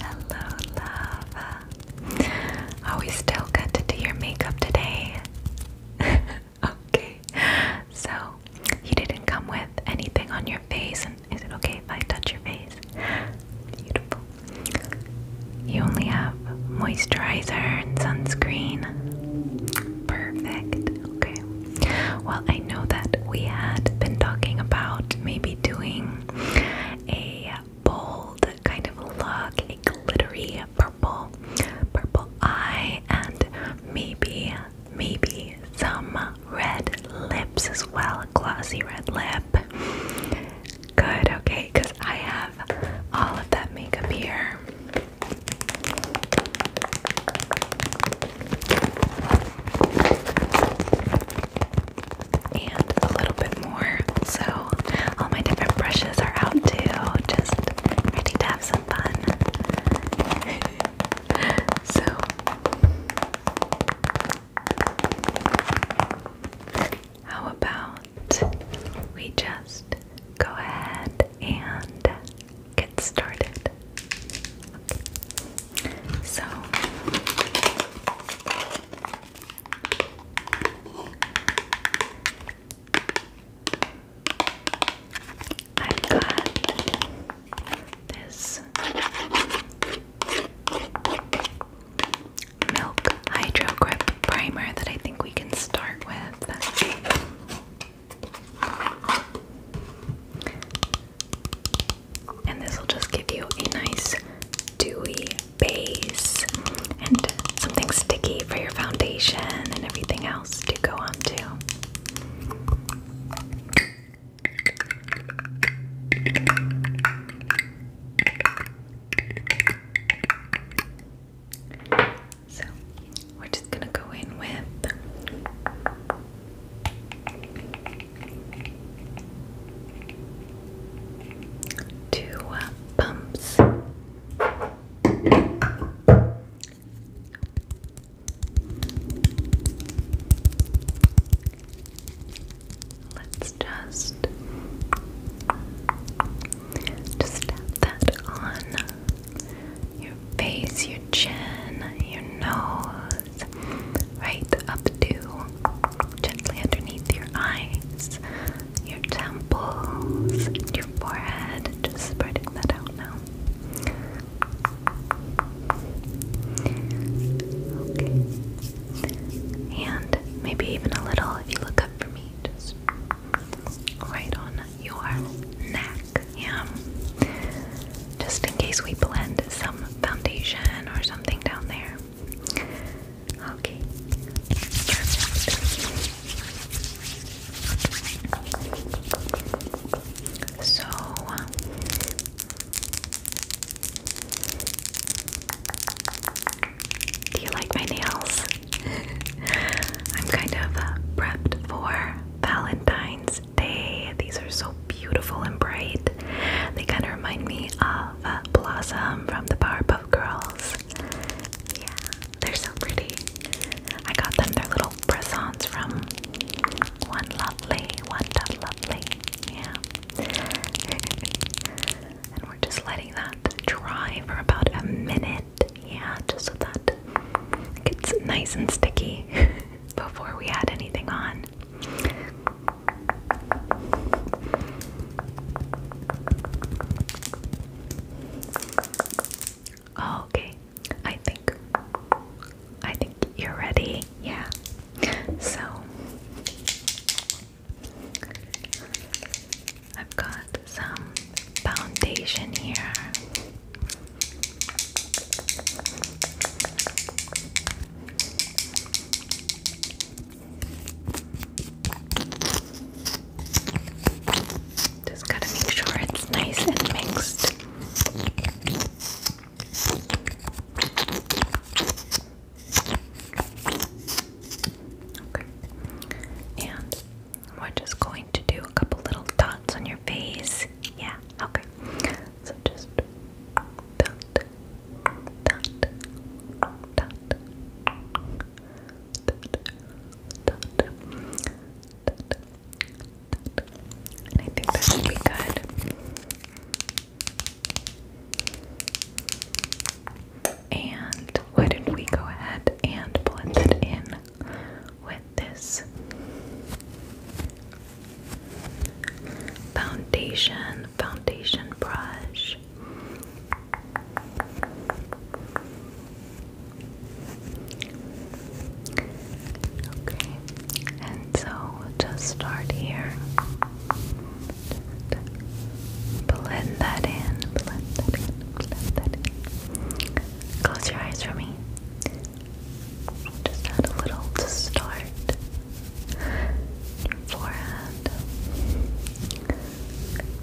Hello, love. Are we still good to do your makeup today? okay. So, you didn't come with anything on your face, and is it okay if I touch your face? Beautiful. You only have moisturizer and sunscreen. Perfect. Okay. Well, I know that we had been talking about maybe doing a bold kind of look, a glittery purple, purple eye, and maybe, maybe some red lips as well, glossy red lip. Good, okay, because I have all of that makeup here. And a little bit more. So, all my different brushes are out too, just ready to have some fun. so, how about we just go ahead and get started. So, I've got this milk hydro grip primer that I think we can start with. And this will just give you a nice dewy base and something sticky for your foundation and everything else to go on to. So we're just gonna go in with two uh, pumps. Let's just just tap that on your face, your chin, your nose, right up to gently underneath your eyes, your temples, your forehead, just spreading that out now. And maybe even a little if you look up for me, just right on your neck. Yeah. Just in case we blend some foundation or something down there. Okay. So do you like my nails? I'm kind of prepped for Valentine's these are so beautiful and bright. They kind of remind me of uh, Blossom from the Powerpuff Girls. Yeah, they're so pretty. I got them their little presents from One Lovely, One Lovely. Yeah. and we're just letting that dry for about a minute. Yeah, just so that gets nice and sticky before we add anything on. Oh, okay, I think I think you're ready. Yeah. So I've got some foundation here. Just gotta make sure it's nice and mixed. Okay. And we're just going to do a couple little dots on your face. Yeah, okay. So just dot, dot, dot, dot, dot, dot. And I think this should be good. And why don't we go ahead and blend it in with this foundation foundation brush. Okay, and so just start here. blend that in, blend that in, blend that in. Close your eyes for me. Just add a little to start. Your forehead,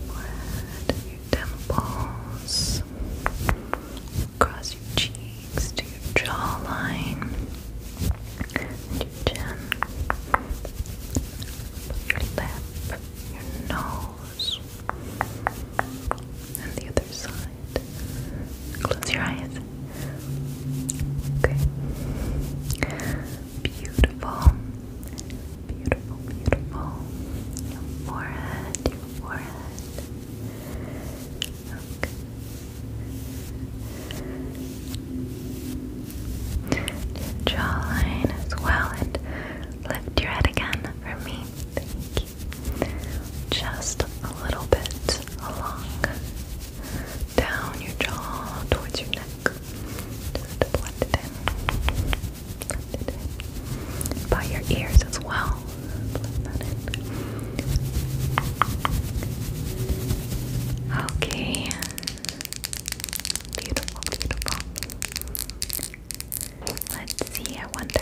forehead, your temples, across your cheeks to your jawline, your chin, your lip, your nose. And the other side. Close your eyes. Okay. Beautiful. Beautiful, beautiful. Your forehead, your forehead. Okay. Your jawline as well. And lift your head again for me. Thank just a little bit along down your jaw towards your neck. Just blend it in. Blend it in. By your ears as well. Blend that in. Okay. Beautiful, beautiful. Let's see, I wonder.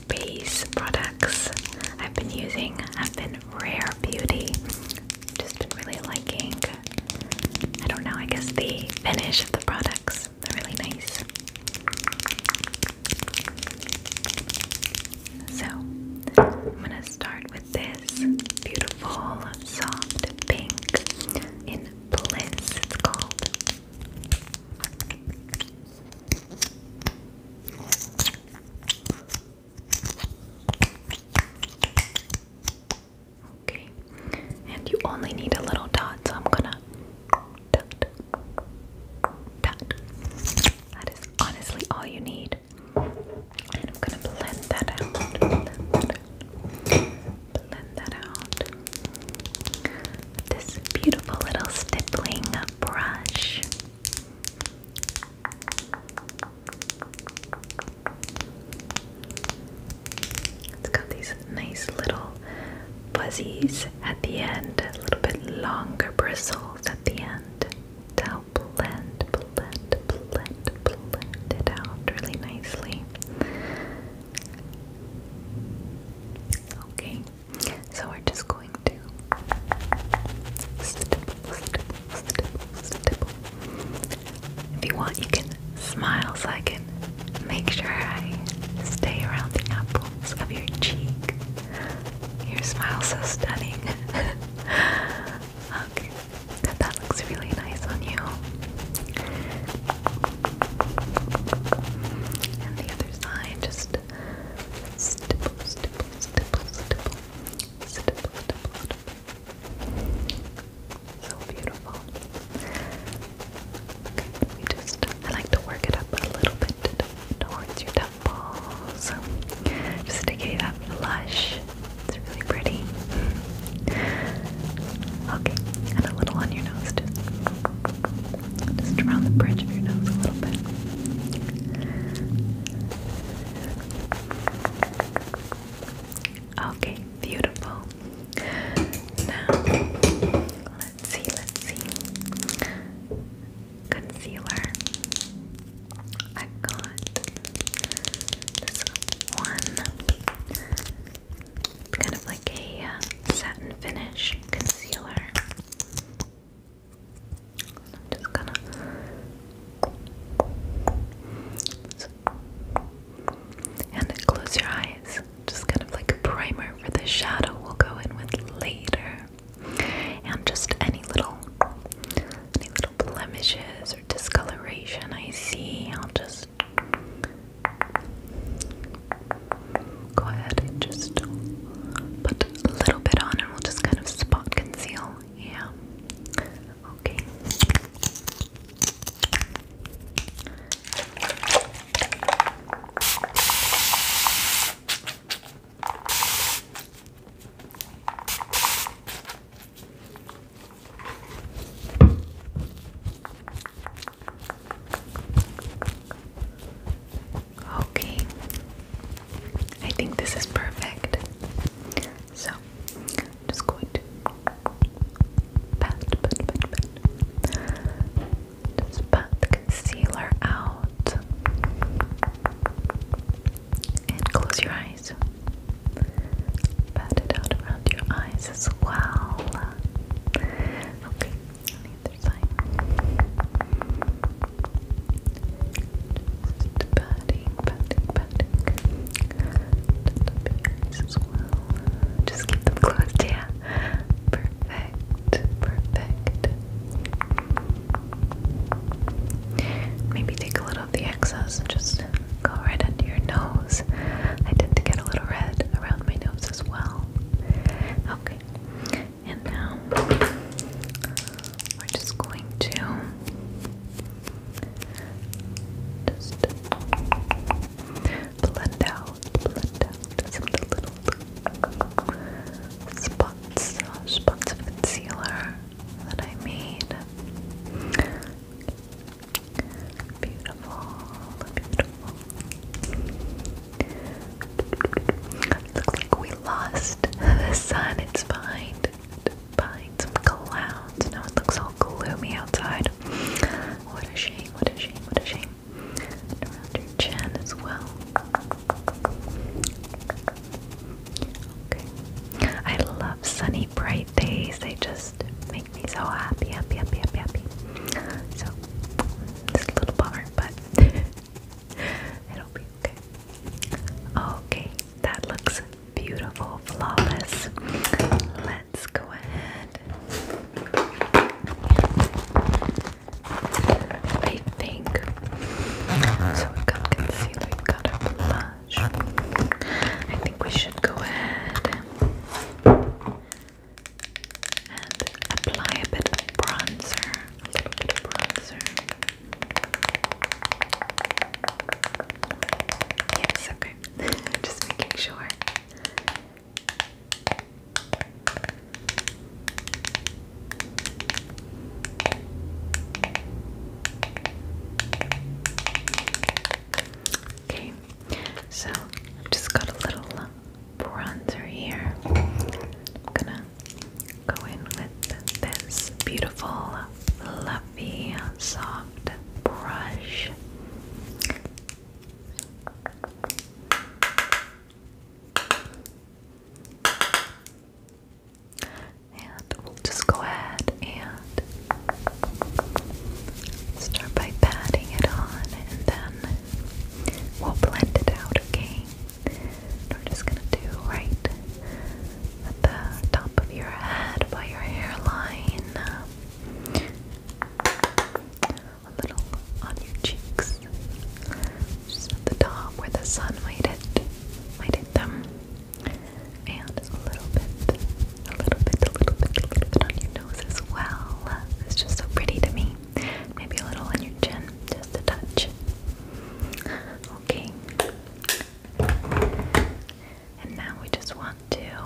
base products I've been using have been Rare Beauty. Just been really liking, I don't know, I guess the finish of the products. They're really nice. So, I'm gonna start with this beautiful soft pink in Bliss, it's called. Okay, and you only need a little dot, so I'm gonna dot, dot. That is honestly all you need. And I'm gonna blend that out. Blend that out this beautiful little stippling brush. It's got these nice little fuzzies at the end, a little bit longer bristles at the end to help blend, blend, blend, blend it out really nicely. Okay, so we're just going to If you want, you can smile so I can make sure I stay around the apples of your cheek. Your smile's so stunning. okay, that looks really nice on you. And the other side, just stipple, stipple, stipple, stipple, stipple, stipple, So beautiful. Okay, we just, I like to work it up a little bit towards your temples, just to get that blush. It's really pretty. Okay, and a little on your nose, just around the bridge of your nose a little bit. Okay, beautiful. Now, let's see, let's see. Concealer. i got this one. It's kind of like a uh, satin finish concealer just gonna and close your eyes. Just kind of like a primer for the shadow we'll go in with later. And just any little any little blemishes or discoloration I see, I'll just go ahead and just put a little bit on and we'll just kind of spot conceal. Yeah. Okay. Okay, I think this is perfect. So, just going to pat, pat, pat, pat. Just pat the concealer out and close your eyes. Pat it out around your eyes as well. Okay, other side. Just patting, patting, patting. Just as well. Just keep them closed, yeah. Perfect, perfect. Maybe take a little of the excess and just go right under your nose. I tend to get a little red around my nose as well. Okay. And now we're just going to just blend out, blend out some of the little spots, spots of concealer that I made. Beautiful, beautiful. Looks like we lost the sun. It's behind behind some clouds. Now it looks all gloomy outside. What a shame, what a shame, what a shame. around your chin as well. Okay. I love sunny, bright days. They just make me so happy, happy, happy, happy, happy. So, it's a little bummer, but It'll be okay. Okay, that looks beautiful, flawless. Let's go ahead. I think so. We got concealer, we got a blush. I think we should go ahead and apply a bit of bronzer, a little bit of bronzer. Yes, okay. Just making sure. Okay, so I've just got a little uh, bronzer here. I'm gonna go in with this beautiful, fluffy, soft brush. And we'll just go ahead and start by patting it on and then We'll blend it out, okay? We're just gonna do right at the top of your head by your hairline, a little on your cheeks, just at the top where the sun might hit, might hit them, and a little bit, a little bit, a little bit, a little bit on your nose as well. It's just so pretty to me. Maybe a little on your chin, just a touch. Okay. And now we just want to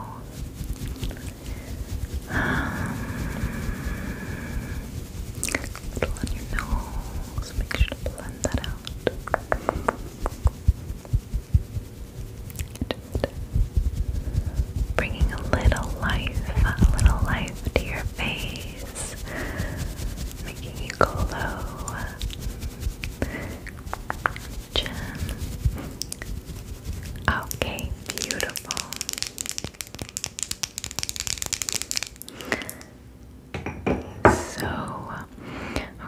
um, little on your nose. Make sure to blend that out. bringing a little life, a little life to your face, making you glow. Okay, beautiful. So,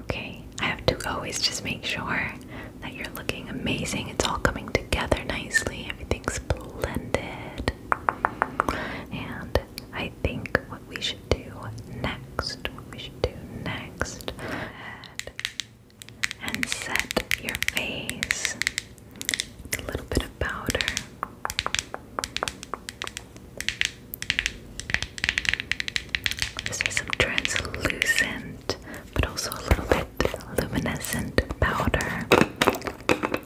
okay, I have to always just make sure that you're looking amazing. It's all coming together nicely, everything's blended. And I think what we should do next, what we should do next, and set your face a little bit of powder. This is some translucent, but also a little bit luminescent powder.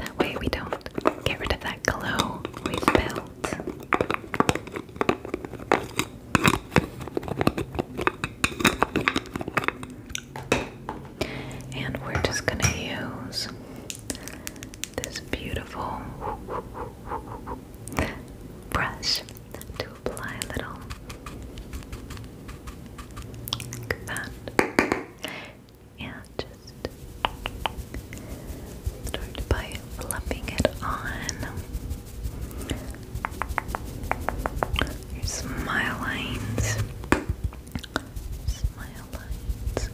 That way we don't get rid of that glow we built. And we're just going to use this beautiful brush to apply a little like that and just start by fluffing it on. Your smile lines. Smile lines.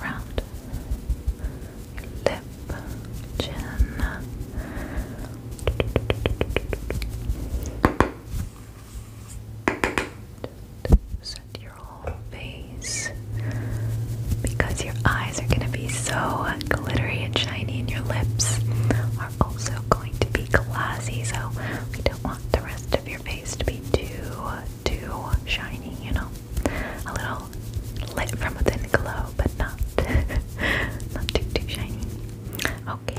around your lip, chin set your whole face because your eyes are going to be so glittery and shiny, and your lips are also going to be glassy. So we don't want the rest of your face to be too, too shiny. You know, a little lit from within glow, but not, not too, too shiny. Okay.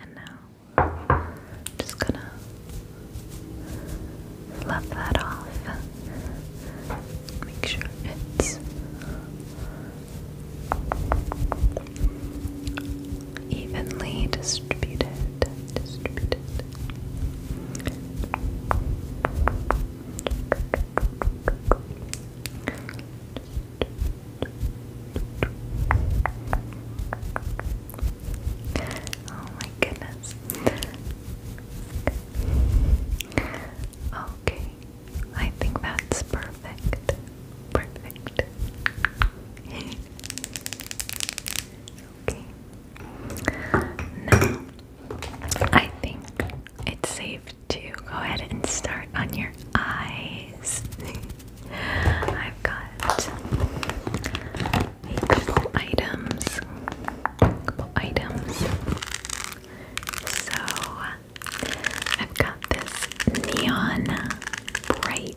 And now just gonna fluff that off. Make sure it's evenly Distributed. Oh my goodness. Okay, I think that's perfect. Perfect. okay. Now I think it's safe to go ahead and start on your eyes. I've got a couple items. Couple items. So I've got this neon bright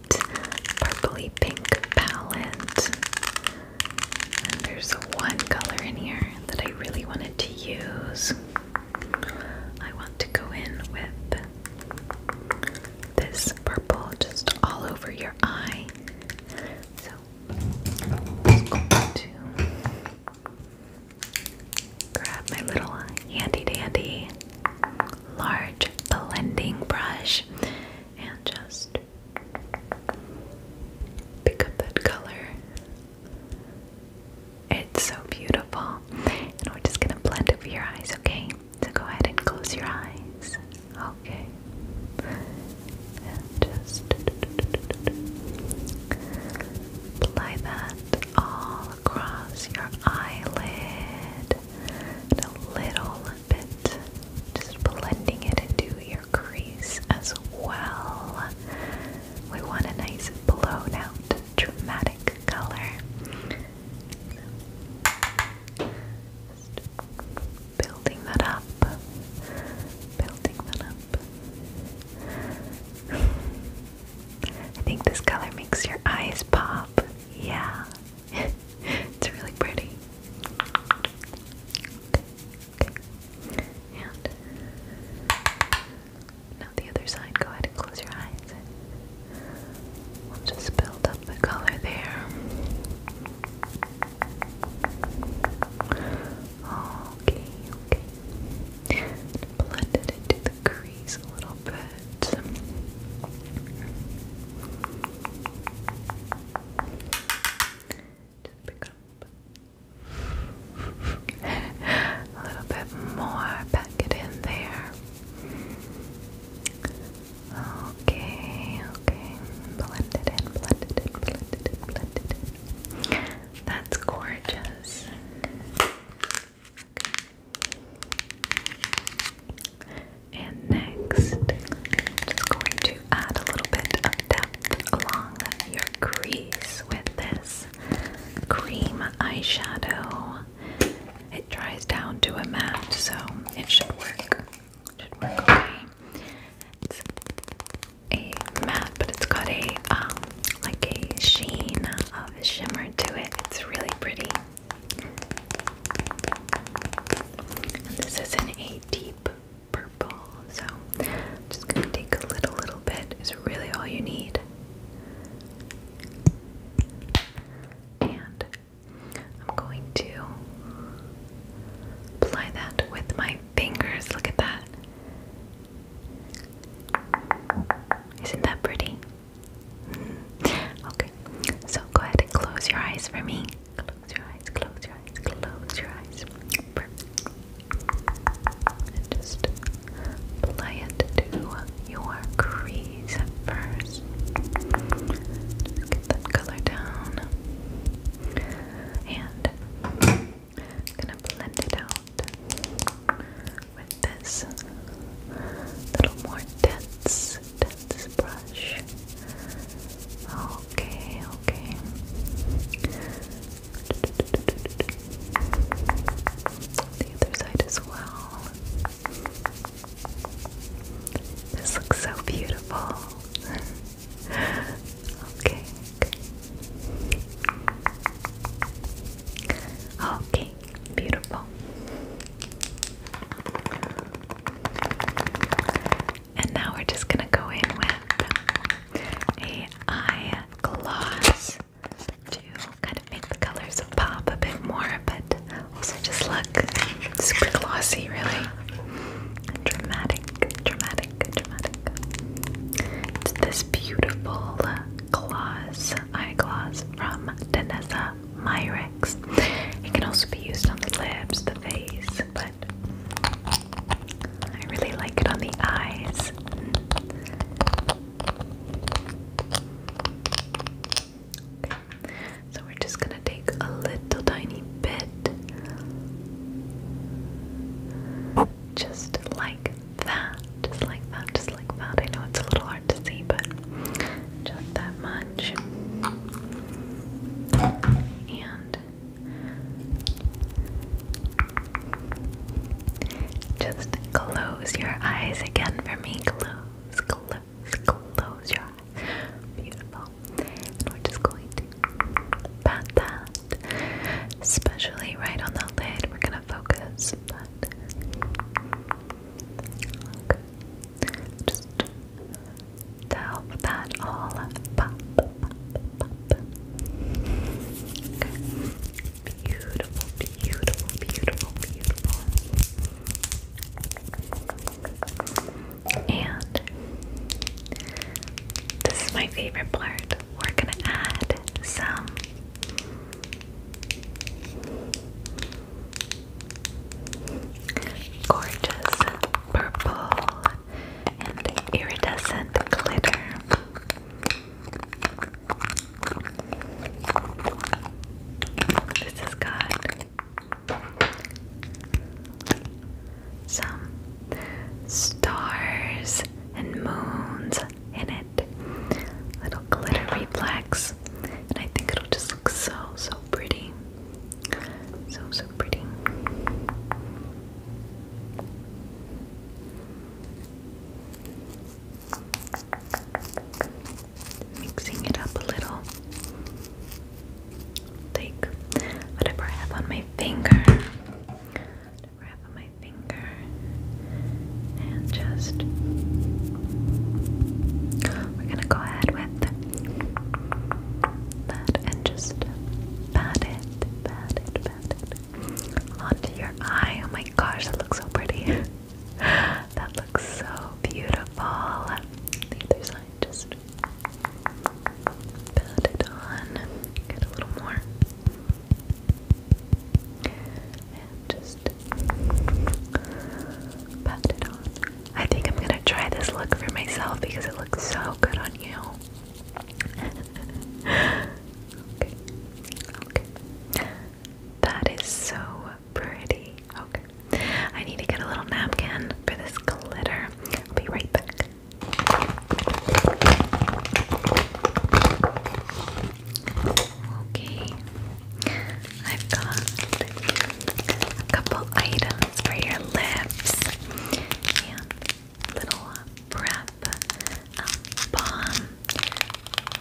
purpley pink palette. And there's one color in here that I really wanted to use. I want to go in with this purple just all over your eye. So I'm going to grab my little handy dandy large blending brush and just pick up that color it's so beautiful. And we're just gonna blend over your eyes, okay? So go ahead and close your eyes. Okay. And just apply that all across your eyelid. And a little bit. Just blending it into your your crease as well. We want a nice blown dramatic color. building that up, building that up. I think this color makes your eyes pop. Yeah, it's really pretty. And now the other side. Go ahead and close your eyes. We'll just build up the color there. Okay, okay. Blend into the crease a little bit. Just pick up a little bit more, pack it in there. Okay, okay, blend it in, it in, it in, it That's gorgeous. And next, I'm just going to add a little bit of depth along your crease with this cream eyeshadow. It dries down to a matte, so it should work. It should work okay. It's a matte, but it's got a um, like a sheen of a shimmer to it. It's really pretty. this is in a deep purple. So i just gonna take a little, little bit. Is really all you need. And I'm going to apply that with my fingers. Look at that. Isn't that pretty? Mm-hmm. okay, so go ahead and close your eyes for me. Close your eyes, close your eyes close your eyes. And just apply it to your crease first. get that color down. And gonna blend it out with this little more dense, dense brush. Oh, Okay, okay. The other side as well. This looks so beautiful. okay, okay. Okay, beautiful. And now we're just going to go in with a eye gloss to kind of make the colors pop a bit more, but also just look super glossy, really. Dramatic, dramatic, dramatic. It's this beautiful gloss, eye gloss from Danessa Myricks. It can also be used on the lips, the face, I really like it on the eyes. So we're just gonna take a little tiny bit, just like that, just like that, just like that. I know it's a little hard to see, but just that much. And just close your eyes again for me. Close, close, close your eyes. Beautiful. And we're just going to pat that, especially right on the lid. We're gonna focus, Just to help that all pop Okay. Beautiful, beautiful, beautiful, beautiful. And this is my favorite part. We're gonna add some gorgeous purple and iridescent glitter. This has got some stars and moons in it, little glittery reflex, and I think it'll just look so so pretty. So so pretty. Mixing it up a little. Take whatever I have on my finger, whatever I have on my finger, and just we're gonna go ahead with that and just pat it, pat it, onto your eye. Oh my gosh, that looks so pretty. that looks so beautiful. The other side, just pat it on. Get a little more. And just pat it on. I think I'm gonna try this look for myself because it looks so good on you okay. Okay. That is so pretty. Okay. I need to get a little napkin for this glitter. I'll be right back. Okay. I've got a couple items for your lips. And little uh, prep um,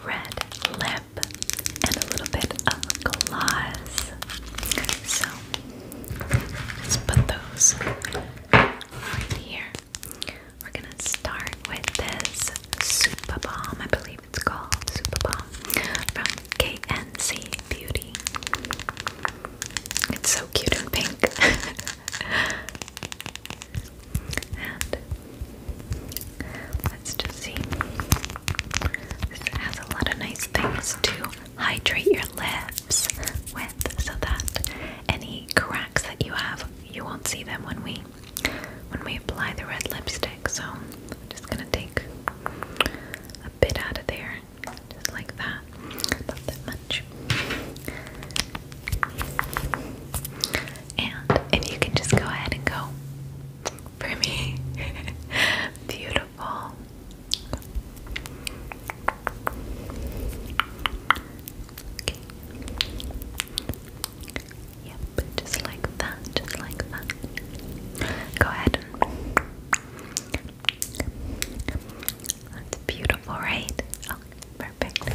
red lip, and a little bit of gloss. So let's put those right here. We're gonna start with this super bomb. I believe it's called super bomb from KNC Beauty. It's so cute and pink. let's just see. This has a lot of nice things to hydrate your lips with so that any cracks that you have, you won't see them when we when we apply the red lipstick. So I'm just gonna take a bit out of there just like that. Not that much. And if you can just go ahead and go for me. Beautiful. Okay. Yep, just like that, just like that. Go ahead that's beautiful, right? perfect.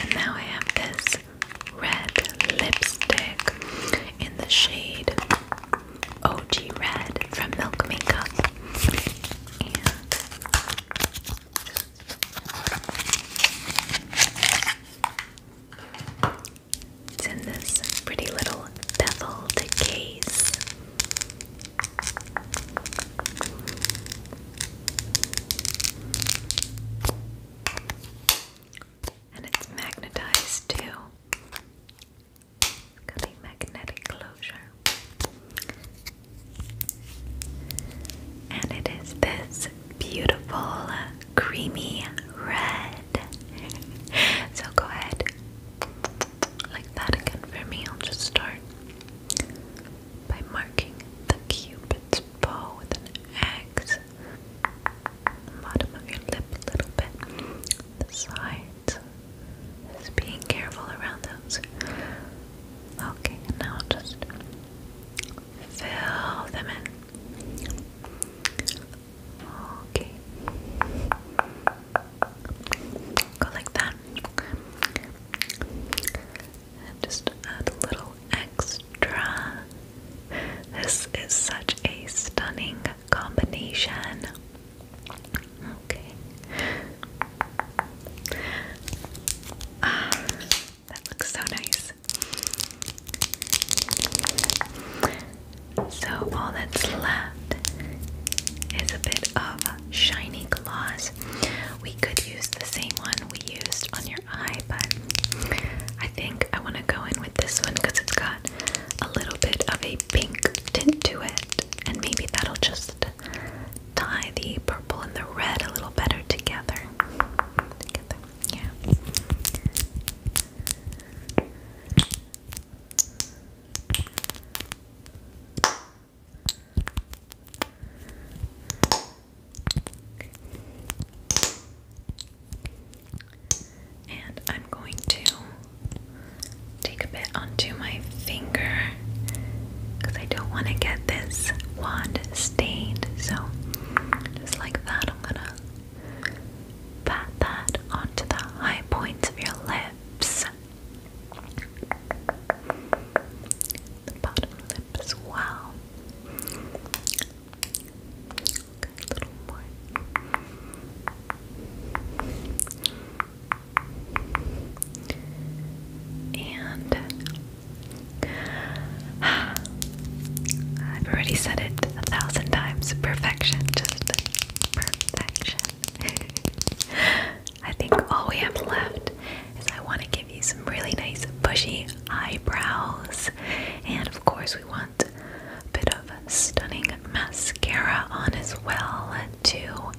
And now I have this red lipstick in the shade OG Red from Milk Makeup. It's in this pretty little beveled case. And it's magnetized too. It's got a magnetic closure. And it is this beautiful uh, creamy red. so go ahead like that again for me. I'll just start by marking the cupid's bow with an X. Bottom of your lip a little bit. The sides. Just being careful around those. Okay, and now I'll just fill them in. Okay. Go like that. just add a little extra. This is such a stunning combination. Okay. Ah, that looks so nice. So all that's left is a bit of shiny gloss. We could use the same one we used on your eye, but I think I want to go in with this one because it's got a little bit of a pink tint to it, and maybe that'll just tie the purple and the red a little better together. And I'm going to take a bit onto my finger because I don't want to get this wand stained. So, just like that, I'm gonna Pat that onto the high points of your lips. The bottom lip as well. a little more. And I've already said it a thousand times. Perfection. Just I think all we have left is I want to give you some really nice bushy eyebrows, and of course, we want a bit of stunning mascara on as well to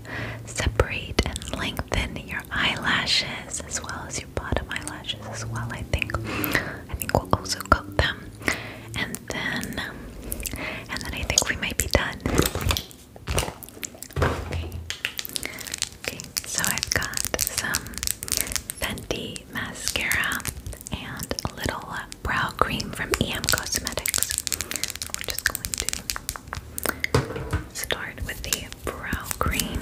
separate and lengthen your eyelashes as well as your bottom eyelashes as well. I think I think we'll also coat them, then, and then I think we might be done. Okay. Okay, so I've got some Fenty mascara and a little uh, brow cream from EM Cosmetics. We're just going to start with the brow cream.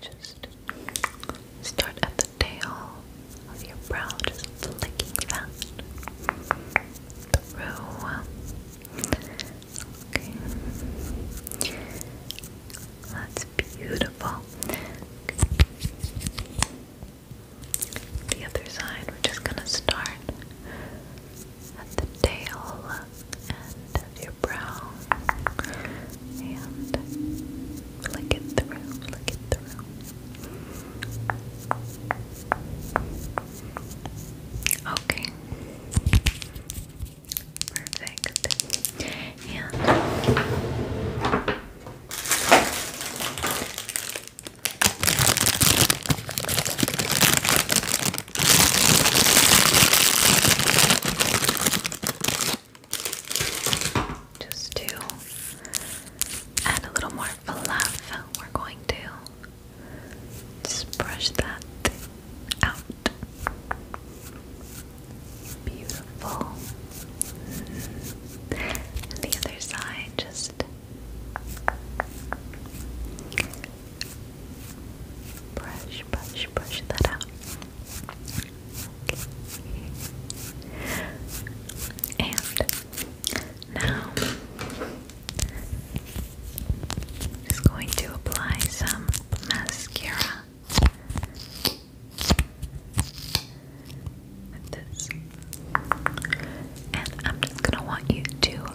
Just start at the tail of your brow, just flicking that That's beautiful. The other side, we're just gonna start at the tail end of your brow and flick it through, flick it through. Okay. Perfect. And just to add a little more fluff, we're going to just brush that out. Beautiful. the other side, just Brush, brush, brush that out. Okay. And now I'm just going to apply some mascara. With this. And I'm just gonna want you to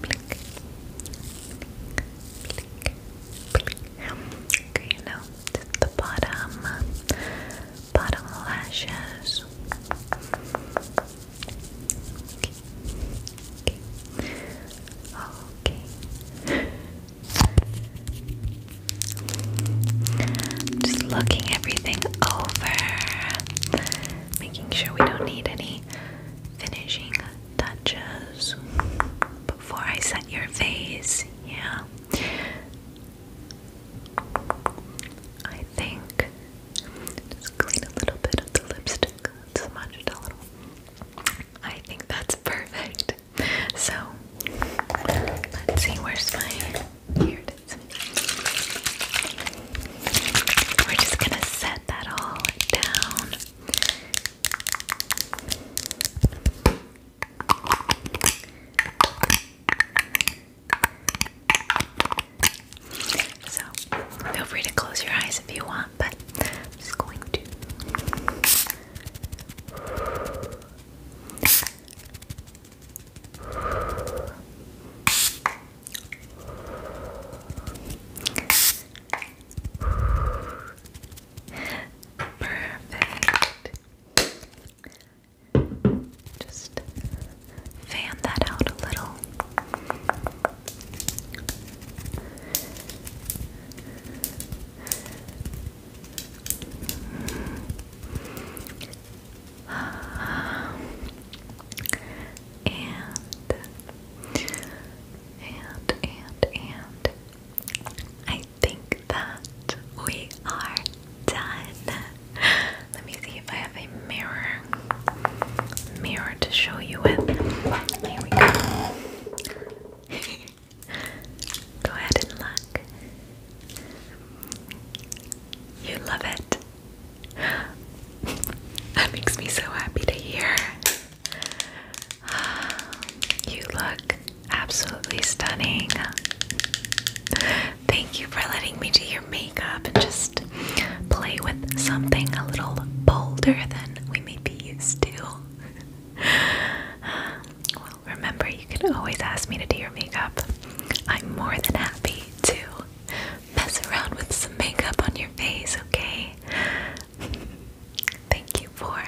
blink, blink, just the bottom, bottom lashes. okay. Just looking everything over, making sure we don't need any finishing touches before I set your face. Yeah. I think just clean a little bit of the lipstick, smudge it a little. I think that's perfect. So let's see, where's my here we're just gonna set that all down. So, feel free to close your eyes if you want, but I'm just going to. Perfect. Just fan that out a little and and and and I think that we are done. Let me see if I have a mirror mirror to show you with. Here we go. go ahead and look. You love it that makes me so happy to hear. You look absolutely stunning. Thank you for letting me do your makeup and just play with something a little bolder than we may be used to. Well, remember, you can always ask me to do your makeup. I'm more than happy to mess around with some makeup on your face, okay? Thank you for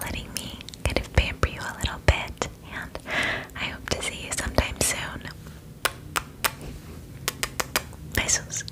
letting me kind of pamper you a little bit, and I hope to see you sometime soon. Besos.